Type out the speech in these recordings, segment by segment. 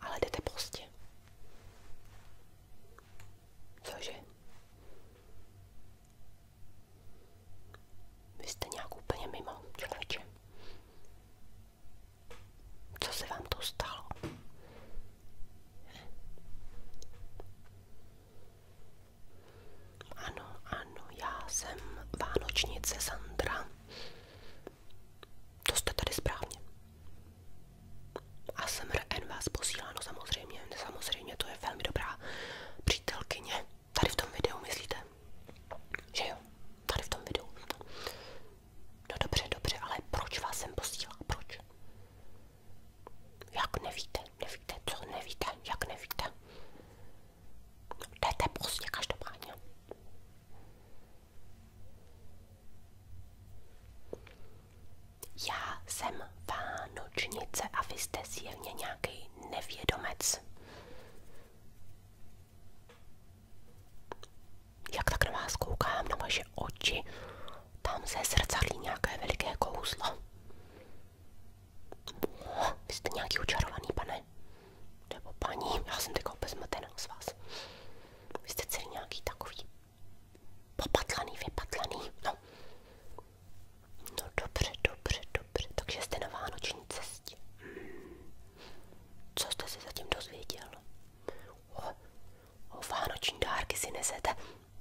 Ale jdete prostě. Cože? Vy jste nějak úplně mimo, člověče. Co se vám to stalo? Ano, ano, já jsem Vánočnice Sandra. To jste tady správně. ASMRN vás posílá, no samozřejmě, samozřejmě to je velmi dobrá přítelkyně. Tady v tom videu myslíte, že jo, tady v tom videu. No dobře, dobře, ale proč vás sem posílá, proč? Jak nevíte, nevíte, co nevíte, jak nevíte? Jdete pozdě každopádně. Já jsem Vánočnice a vy jste silně nějaký nevědomec. Jak tak na vás koukám, na vaše oči, tam se zrcadlí nějaké veliké kouzlo. Vy jste nějaký učarovaný pane nebo paní, já jsem teďka úplně zmatená z vás. Vy jste celý nějaký takový popatlaný, vypatlaný, no. No dobře, dobře, dobře, takže jste na vánoční cestě. Hmm. Co jste se zatím dozvěděl? O, o vánoční dárky si nesete.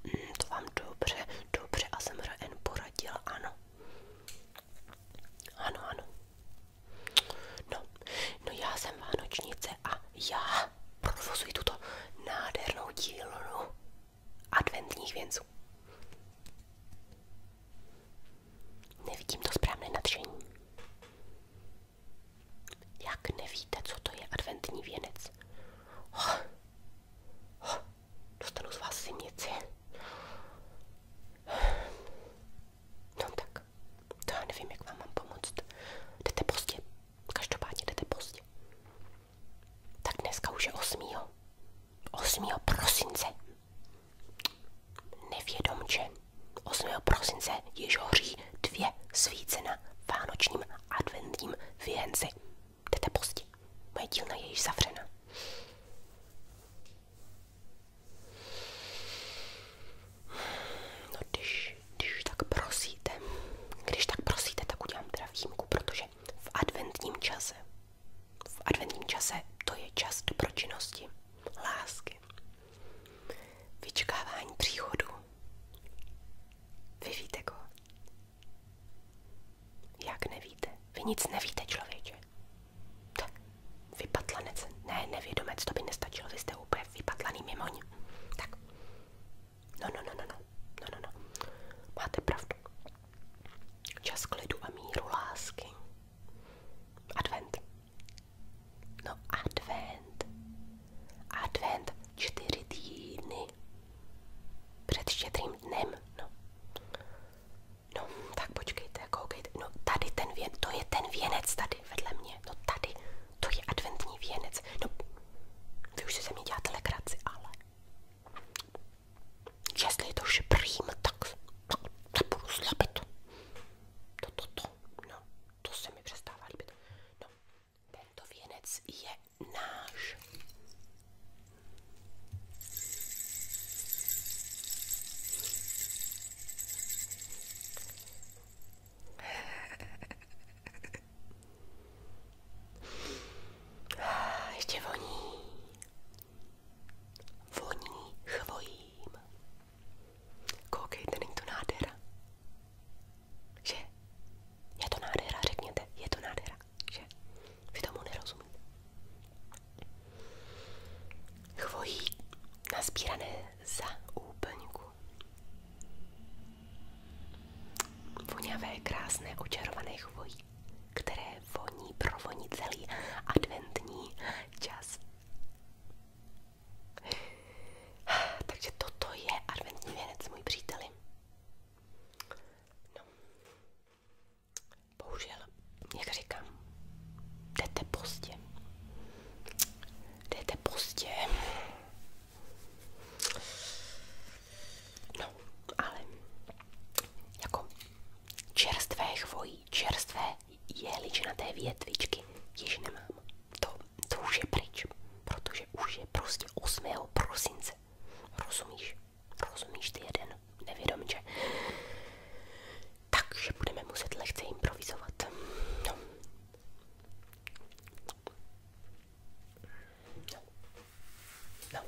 Hmm, to vám dobře, dobře, a jsem N poradil, ano. Ano, ano. No, no já jsem vánočnice a já provozuji tuto nádhernou dílnu adventních věnců. Nevidím to správné nadšení. Jak nevíte, co to je adventní věnec? Oh, oh, dostanu z vás zimnici. No tak, to no já nevím, jak vám mám pomoct. Jdete pozdě, každopádně jdete pozdě. Tak dneska už je 8. 8. prosince. Nevědomče. 8. prosince již hoří dvě svíce na vánočním adventním věnci. Jdete pozdě. Moje dílna je již zavřena. No, když, když tak prosíte, když tak prosíte, tak udělám teda výjimku, protože v adventním čase, v adventním čase to je čas dobročinnosti, lásky, vyčkávání příchodu. Vy víte go? Jak nevíte? Vy nic nevíte, člověče. Tak, Vypatlanec. Ne, nevědomec, to by nestačilo, vy jste úplně vypatlaný mimoň. Tak. No, no, no, no, no, no, no, no. Máte pravdu. Čas klidu a míru lásky. Advent. No, advent. Advent čtyři týdny. Před štědrým dnem, no. no tak počkejte, koukejte. No, tady ten věn, to je ten věnec tady vedle mě. No, tady. To je adventní věnec. No, vy už si se mě děláte legraci, ale jestli je to šprým, tak se no, budu slabit. To, to, to, no, to se mi přestává líbit. No, tento věnec je náš. Ještě voní. Voní chvojím. Koukejte, není to nádhera. Že? Je to nádhera, řekněte. Je to nádhera, že? Vy tomu nerozumíte. Chvojí nasbírané za úplňku. Voňavé, krásné, očarované chvojí, které voní, pro provoní celý adventní čas. Takže toto je adventní věnec, můj příteli. No. Bohužel, jak říkám, jdete pozdě jdete pozdě. No, ale jako čerstvé chvojí, čerstvé jehličnaté větvičky již nemám. To, to už je pryč, protože už je prostě 8. prosince. Rozumíš? Rozumíš ty jeden nevědomče? Takže budeme muset lehce improvizovat. No, No.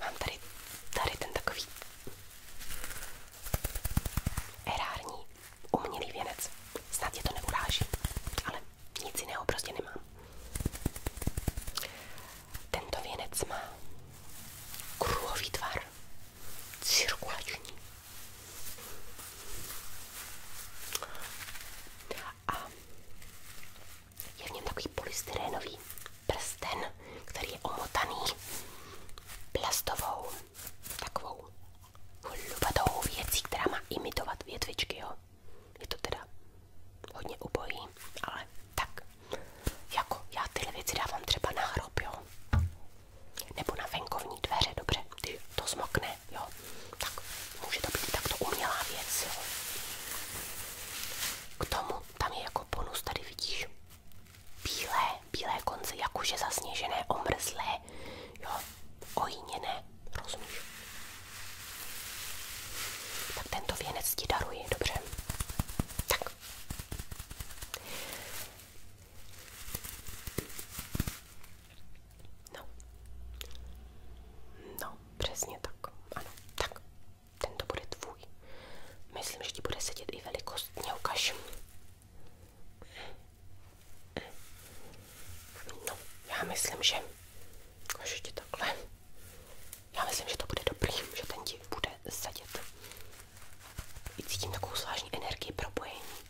Mám tady, tady ten takový erární umělý věnec. Snad tě to neuráží, ale nic jiného prostě nemám. Tento věnec má kruhový tvar, cirkulační. A je v něm takový polystyrénový prsten, který je omotaný plastovou takovou hlubatou věcí, která má imitovat větvičky, jo. Je to teda hodně ubojí, ale tak, jako já tyhle věci dávám třeba na hrob, jo. Nebo na venkovní dveře, dobře, ty to zmokne, jo. Tak může to být takto umělá věc, jo. K tomu tam je jako bonus, tady vidíš, bílé, bílé konce, jakože zasněžené, omrzlé, jo, ojíněné, rozumíš? Tak tento věnec ti daruji, dobře? Tak. No. No, přesně tak. Ano, tak. Tento bude tvůj. Myslím, že ti bude sedět i velikost. Mě No, já myslím, že... Ukažu ti takhle. Já myslím, že to bude dobrý, že ten ti bude sedět. I cítím takovou zvláštní energii propojení.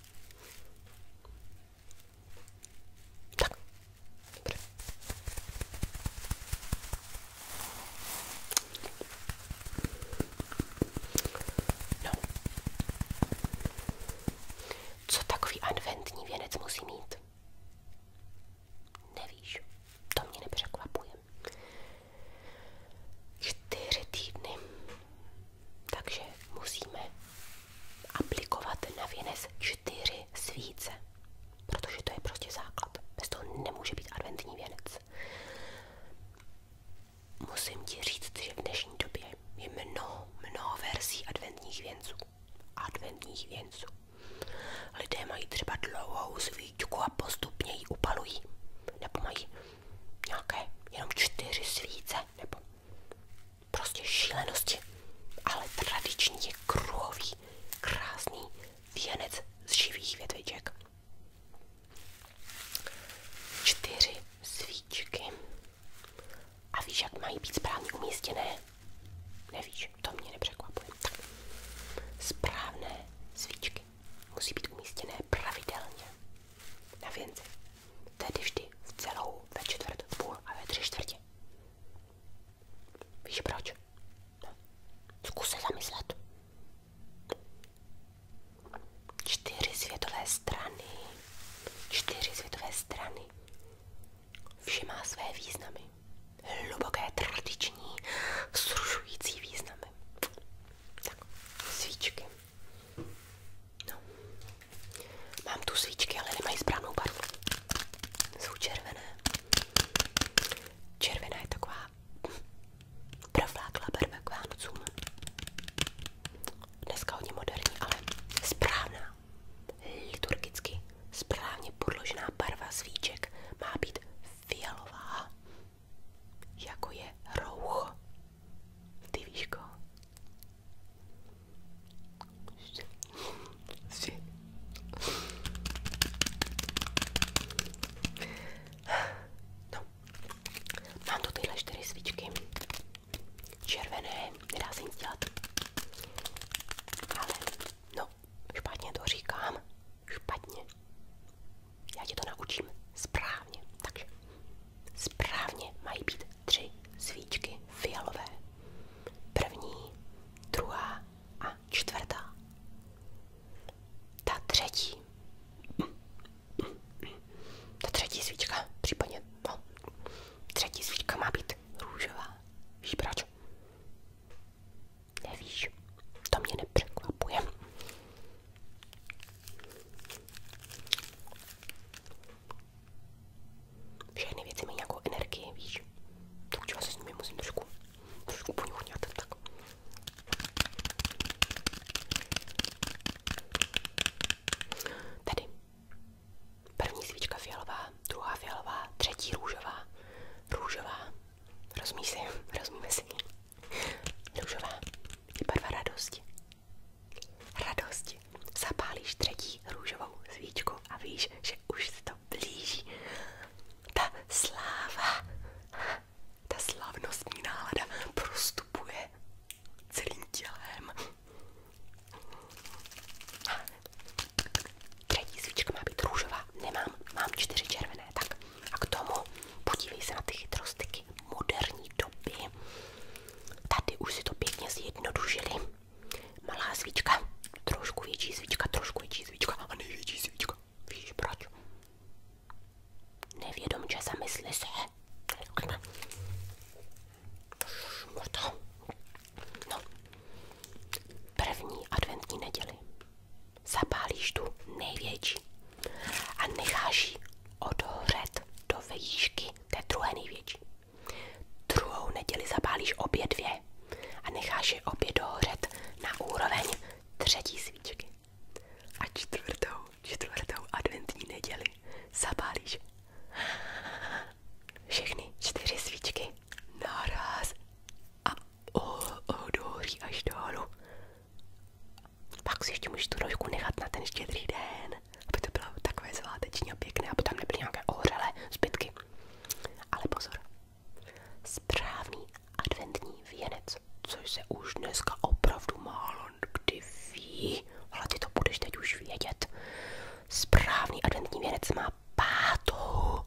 Tak, dobře. No. Co takový adventní věnec musí mít? Nevíš, to mě nepřekvapuje. Čtyři týdny. Takže musíme aplikovat na věnec čtyři svíce, protože to je prostě základ. Bez toho nemůže být adventní věnec. Musím ti říct, že v dnešní době je mnoho, mnoho verzí adventních věnců. Adventních věnců. Lidé mají třeba dlouhou svíčku a postupně ji upalují. Nebo mají nějaké jenom čtyři svíce nebo prostě šílenosti, ale tradičně je kruhový, krásný věnec z živých větviček. Čtyři svíčky. A víš, jak mají být správně umístěné? Nevíš, to mě nepřekvapuje. Tak. Správné svíčky musí být umístěné pravidelně na věnce. Tedy vždy ve čtvrt, půl a ve tři čtvrtě. Víš proč? No, zkus se zamyslet. Čtyři světové strany. Čtyři světové strany. Vše má své významy. Hluboké, tradiční, vzrušující významy. svíčky. No. Mám tu svíčky, ale nemají správnou barvu. Jsou červené. Červená je taková provláklá barva k Vánocům. Dneska hodně moderní, ale správná, liturgicky správně podložená barva svíček má být fialová, jako je rouch. Ty víš koho? No, mám tu tyhle čtyři svíčky. Červené, nedá se nic dělat. Ale, no, špatně to říkám. Špatně. Já ti to naučím správně. Takže Správně mají být tři svíčky fialové. První, druhá a čtvrtá. Ta třetí. Ta třetí svíčka, případně, no, třetí svíčka má být růžová. Víš proč? Nevíš, to mě nepřekvapuje. Všechny věci mají nějakou energii, víš. Takže já se s nimi musím trošku, trošku poňuchňat, tak. Tady. První svíčka fialová, druhá fialová, třetí růžová, růžová, rozumí si, rozumíme si, růžová je barva radosti, radosti. Zapálíš třetí růžovou svíčku a víš, že už se to blíží. Ta sláva, ta slavnostní nálada prostupuje celým tělem. Třetí svíčka má být růžová, nemám, mám čtyři červené, tak. A k tomu podívej se na ty chytrostyky moderní doby. Tady už to pěkně zjednodušili. Malá svíčka, trošku větší svíčka, trošku větší svíčka a největší svíčka. Víš proč? Nevědom, že se. No. První adventní neděli zapálíš tu největší a necháš ji do vejšky to je druhé největší. Druhou neděli zapálíš obě dvě a necháš je obě dohořet na úroveň třetí svíčky. A čtvrtou, čtvrtou adventní neděli zapálíš všechny čtyři svíčky naraz a odohoří až dolů. Pak si ještě můžeš tu rožku nechat na ten štědrý den, aby to bylo takové zváteční a pěkné, aby tam nebyly nějaké ohřelé zbytky. Ale pozor, správný adventní věnec, což se už dneska opravdu málo kdy ví, ale ty to budeš teď už vědět. Správný adventní věnec má pátou,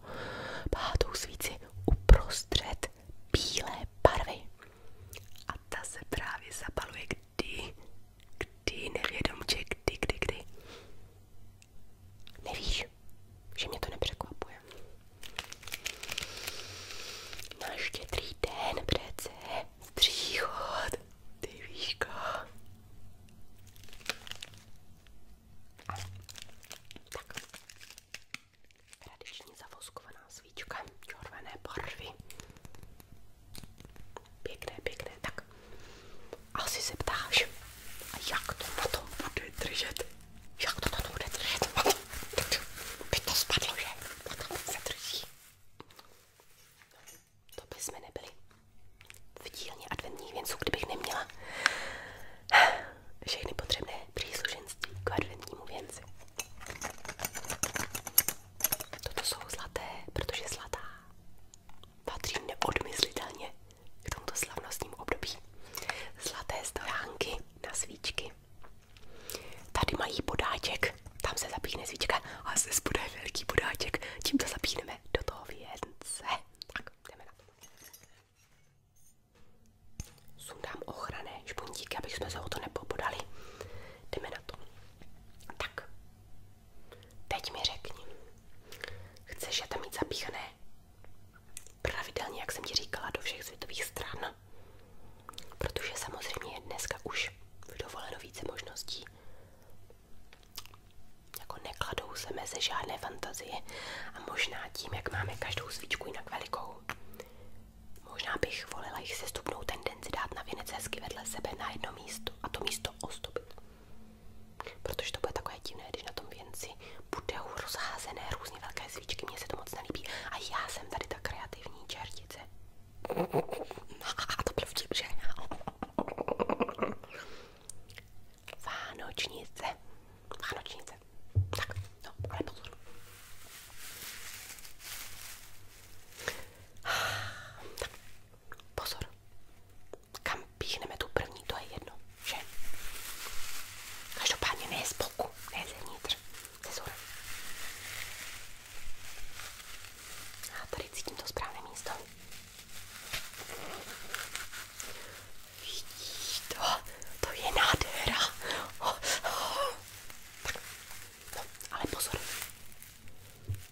pátou svíci uprostřed bílé barvy. A ta se právě zapaluje, kdy, kdy, nevědomče, kdy, kdy, kdy. Nevíš, že mě to nepřekvapuje. Na štědrý den přece stříchod, ty víško. Tak. Tradiční zavoskovaná svíčka, červené barvy. Pěkné, pěkné, tak. Asi se ptáš, a jak to na tom bude držet? Jak to na tom bude držet? By to spadlo, že? Na tom se drží. To by jsme nebyli v dílně adventních věnců, kdybych neměla všechny potřebné příslušenství k adventnímu věnci. Toto jsou zlaté, protože zlatá patří neodmyslitelně k tomuto slavnostním období. Zlaté stojánky na svíčky. Tady mají podáček, tam se zapíchne svíčka a zde bude velký podáček. Tím to zapíneme do toho věnce. Tak, jdeme na to. Sundám ochranné špuntíky, abych jsme se o to nepopodali. Jdeme na to. Tak, teď mi řekni, chceš je tam mít zapíchané jak jsem ti říkala, do všech světových stran? Protože samozřejmě dneska už dovoleno více možností. Jako nekladou se mezi žádné fantazie a možná tím, jak máme každou svíčku jinak velikou, možná bych volila jich sestupnou tendenci den si dát na věnec hezky vedle sebe na jedno místo a to místo ostupit. Protože to bude takové divné, když na tom věnci budou rozházené různě velké svíčky, mně se to moc nelíbí a já jsem tady ta kreativní čertice. A to byl vtip, že? Vánočnice. no, ale tak, pozor. Kam píchneme tu první, to je jedno, že? Každopádně ne z boku, ne zevnitř, ze zhora. A tady cítím to správné místo. Vidíš to? To je nádhera. Oh, oh. Tak, no, ale pozor.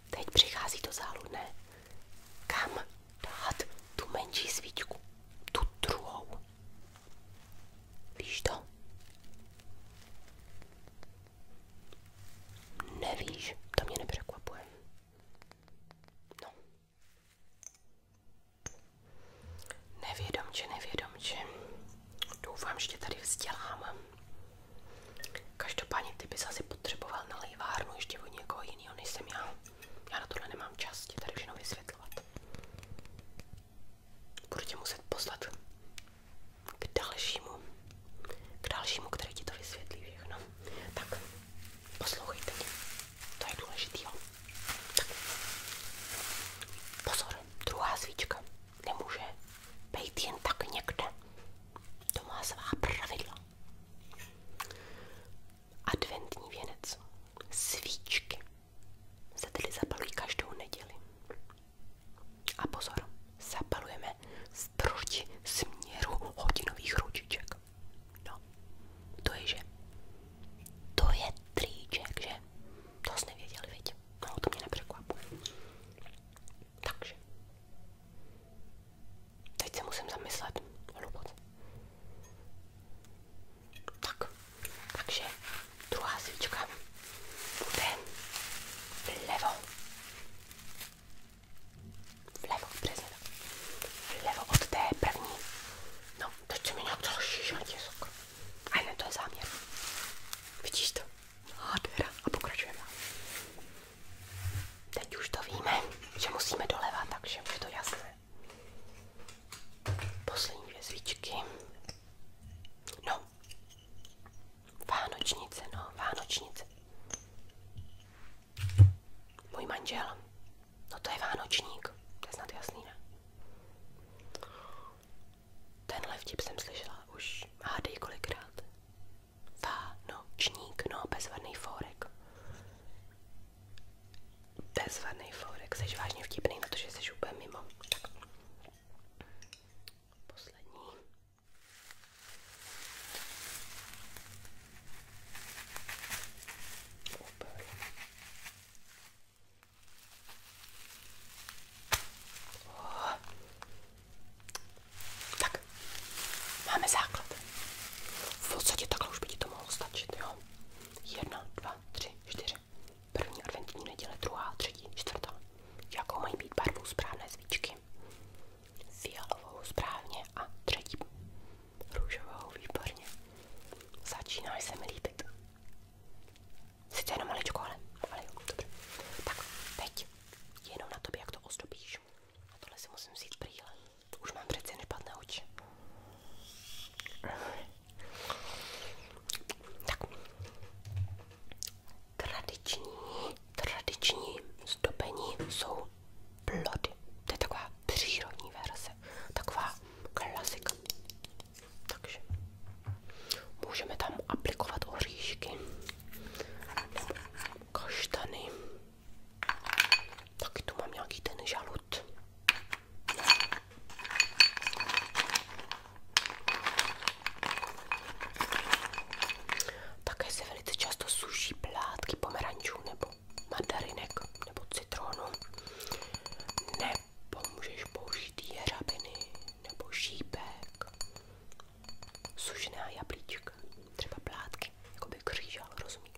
Teď přichází to záludné. Kam dát tu menší svíčku? Tu druhou. Víš to? Nevíš, to mě nepřekvapuje. No. Nevědomče, nevědomče. Doufám, že tě tady vzdělám. Každopádně ty bys asi potřeboval na lejvárnu ještě od někoho jiného než jsem já. Já na tohle nemám čas ti tady všechno vysvětlovat. Budu tě muset poslat k dalšímu, k dalšímu, který ti to vysvětlí všechno. Tak, poslouchejte mě. To je důležitý, jo? Tak. Pozor, druhá svíčka nemůže být jen tak někde. To má svá pravidla. Adventní věnec. Svíčky se tedy zapalují každou neděli. A pozor, zapalujeme z proti směru hodinových ručiček. No, to je že? To je tríček, že? To jsi nevěděl, viď? No, to mě nepřekvapuje. Takže. Teď se musím zamyslet hluboce. Tak, takže druhá svíčka bude vlevo. Vlevo, přesně tak. Vlevo od té první. No, teď se mi nějak dalo šíšat, je A ne, to je záměr. Vidíš to? Nádhera. A pokračujeme. Teď už to víme, že musíme doleva, takže už je to jasné. Poslední dvě svíčky. No. Vánočnice, no, Vánočnice. Můj manžel. No to je Vánočník. To je snad jasný, ne? Tenhle vtip jsem slyšela už hádej kolikrát. Vánočník, no, bezvadný fórek. Bezvadný fórek, jsi vážně vtipný na to, že jsi úplně mimo. Tak. Poslední. Super. Oh, tak, máme základ. V podstatě takhle už by ti to mohlo stačit, jo? Jedna, dva, tři, čtyři. První adventní neděle, druhá, třetí, čtvrtá. Jakou mají být barvu správné svíčky? Fialovou správně a třetí růžovou, výborně. Začínáš se mi líbit. Sice jenom maličko, ale, ale jo, dobře. Tak, teď jenom na tobě, jak to ozdobíš. A tohle si musím vzít brýle. Už mám přece nepadné oči. Tak. Tradiční, tradiční zdobení jsou plody. To je taková přírodní verze. Taková klasika. Takže můžeme tam aplikovat oříšky kaštany. Taky tu mám nějaký ten žalud. Také se velice často suší plátky pomerančů nebo mandarinek nebo citronu. Nebo můžeš použít jeřabiny nebo šípek sušená jablíčka, třeba plátky, jako by křížal, rozumíš?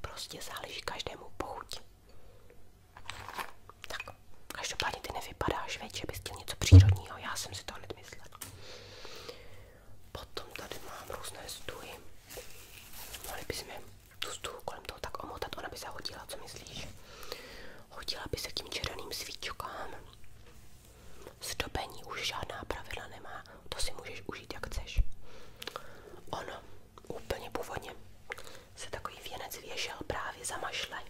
Prostě záleží každému pochutí. Tak, každopádně ty nevypadáš, veď, že bys chtěl něco přírodního, já jsem si to hned myslela. Potom tady mám různé stuhy. Mohli bychom tu stuhu kolem toho tak omotat, ona by se hodila, co myslíš? Hodila by se k tím červeným svíčkám. Zdobení už žádná pravidla nemá, to si můžeš užít jak chceš. Ono, úplně původně, se takový věnec věšel právě za mašle.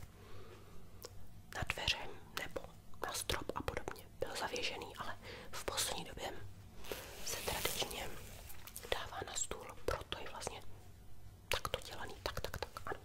Na dveře nebo na strop a podobně. Byl zavěžený, ale v poslední době se tradičně dává na stůl, proto je vlastně takto dělaný, tak, tak, tak, ano.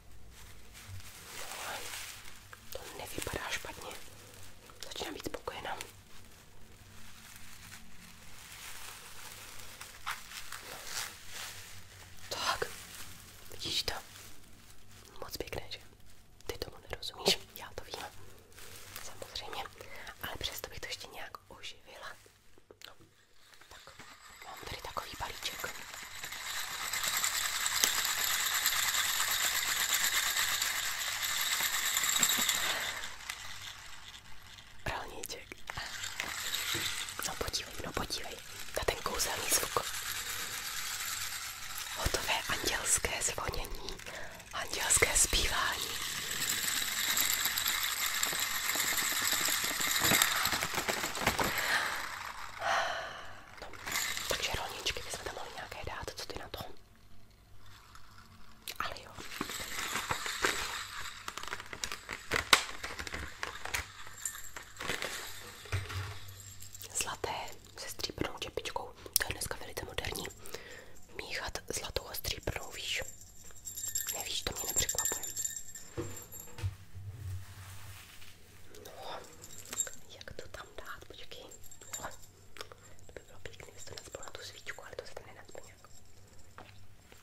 To nevypadá špatně. Začínám být spokojená. Tak, vidíš to? Moc pěkné, že? Ty tomu nerozumíš, já to vím. Samozřejmě, ale přesto bych to ještě nějak oživila. No, tak, mám tady takový balíček. Rolníček. No podívej, no podívej na ten kouzelný zvuk. Hotové andělské zvonění, andělské zpívání. No, takže rolničky bychom tam mohli nějaké dát, co ty na to? Ale jo. Zlaté se stříbrnou čepičkou, to je dneska velice moderní. Míchat zlatou a stříbrnou, víš? Nevíš, to mě nepřekvapuje. No, jak to tam dát, počkej. No, to by bylo pěkný, jestli to nacpalo na tu svíčku, ale to se tam nenacpe nějak.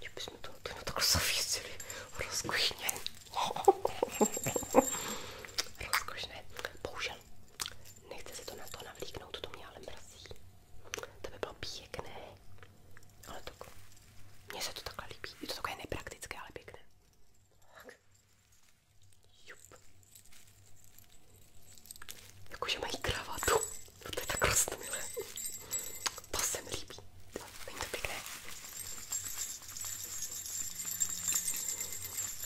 Já bych mi to, to na takhle zavěsili. Rozkošně. Rozkošné. Bohužel. Nechce se to na to navlíknout, to mě ale mrzí. To by bylo pěkné. Ale tak. Mně se to takhle líbí. Je to takové nepraktické, ale pěkné. Tak. Jakože mají kravatu. No, to je tak rostomilé. To se mi líbí. Není to pěkné.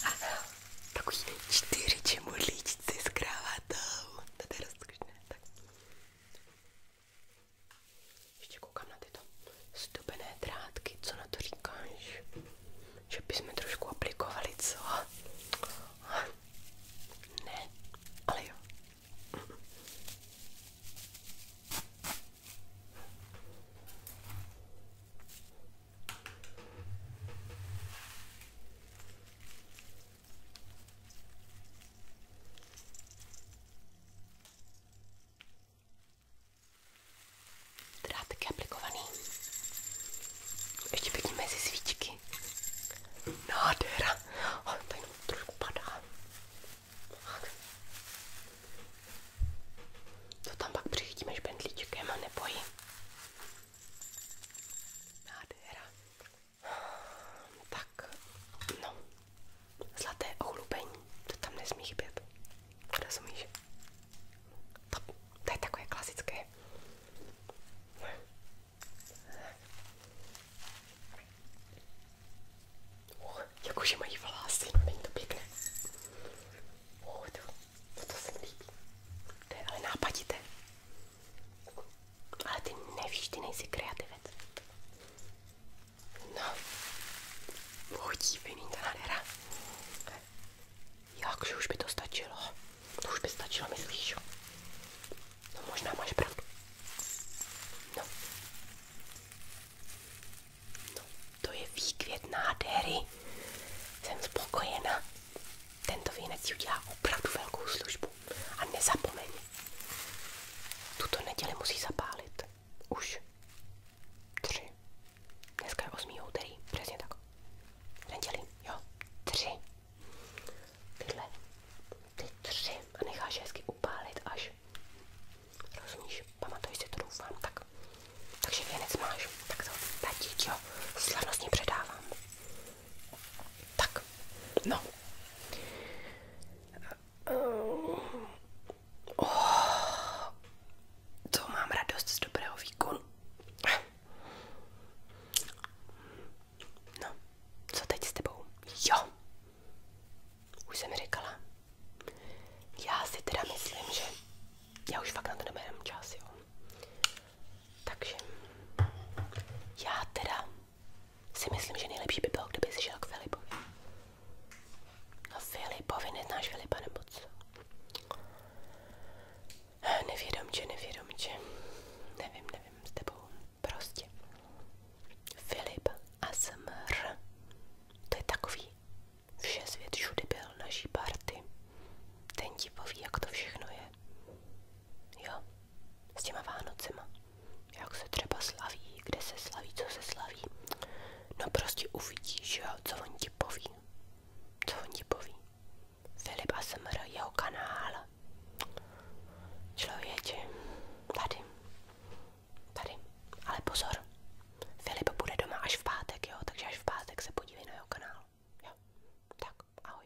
Ano, takový čtyři čemodlíčci s kravatou. To je rozkošné. Tak. Ještě koukám na tyto stupené drátky, co na to říkáš? Že bychom trošku aplikovali, co? Ne, ale jo. Drátek je aplikovaný. Ještě pěkně mezi svíčky. Nádhera. Ale to jenom trošku padá. To tam pak přichytíme špendlíčkem a nebojí. Nádhera. Tak, no. Zlaté ochlubení. To tam nesmí chybět. Rozumíš? To, to je takové klasické. Uh, jakože mají vlasy, no není to pěkné. Uh, to, to, to se mi líbí. To je ale nápadité. Ale ty nevíš, ty nejsi kreativec. No, bohu díviný ta nádhera. Jakže už by to stačilo. To už by stačilo, myslíš? No možná máš pravdu. No. No, to je výkvět nádhery. Jsem spokojena. Tento věnec ti udělá opravdu velkou službu. A nezapomeň. Tuto neděli musí zapálit. Už. Tři. Dneska je 8. úterý, přesně tak. V neděli, jo, tři. Tyhle, ty tři a necháš hezky upálit až. Rozumíš, pamatuješ si to, doufám, tak. Takže věnec máš, tak to tatíč, jo, slavnostně předávám. Tak, no. Eh, eh, oh, to mám radost z dobrého výkonu. No, co teď s tebou? Jo, už jsem říkala. Já si teda myslím, že já už fakt na to nemám čas, jo. Takže já teda si myslím, že nejlepší by bylo, kdyby si šel k Filipovi. No Filipovi, neznáš Filipa nebo co? Nevědomče, nevědomče. Nevím, nevím s tebou. Prostě. Filip ASMR. To je takový. Vše svět všudy byl naší party. Ten ti poví, jak to všechno je. Jo, s těma Vánocema. Jak se třeba slaví, kde se slaví, co se slaví. No prostě uvidíš, jo, co on ti poví. Co on ti poví? Filip ASMR, jeho kanál. Člověče, tady. Tady. Ale pozor, Filip bude doma až v pátek, jo? Takže až v pátek se podívej na jeho kanál. Jo? Tak, ahoj.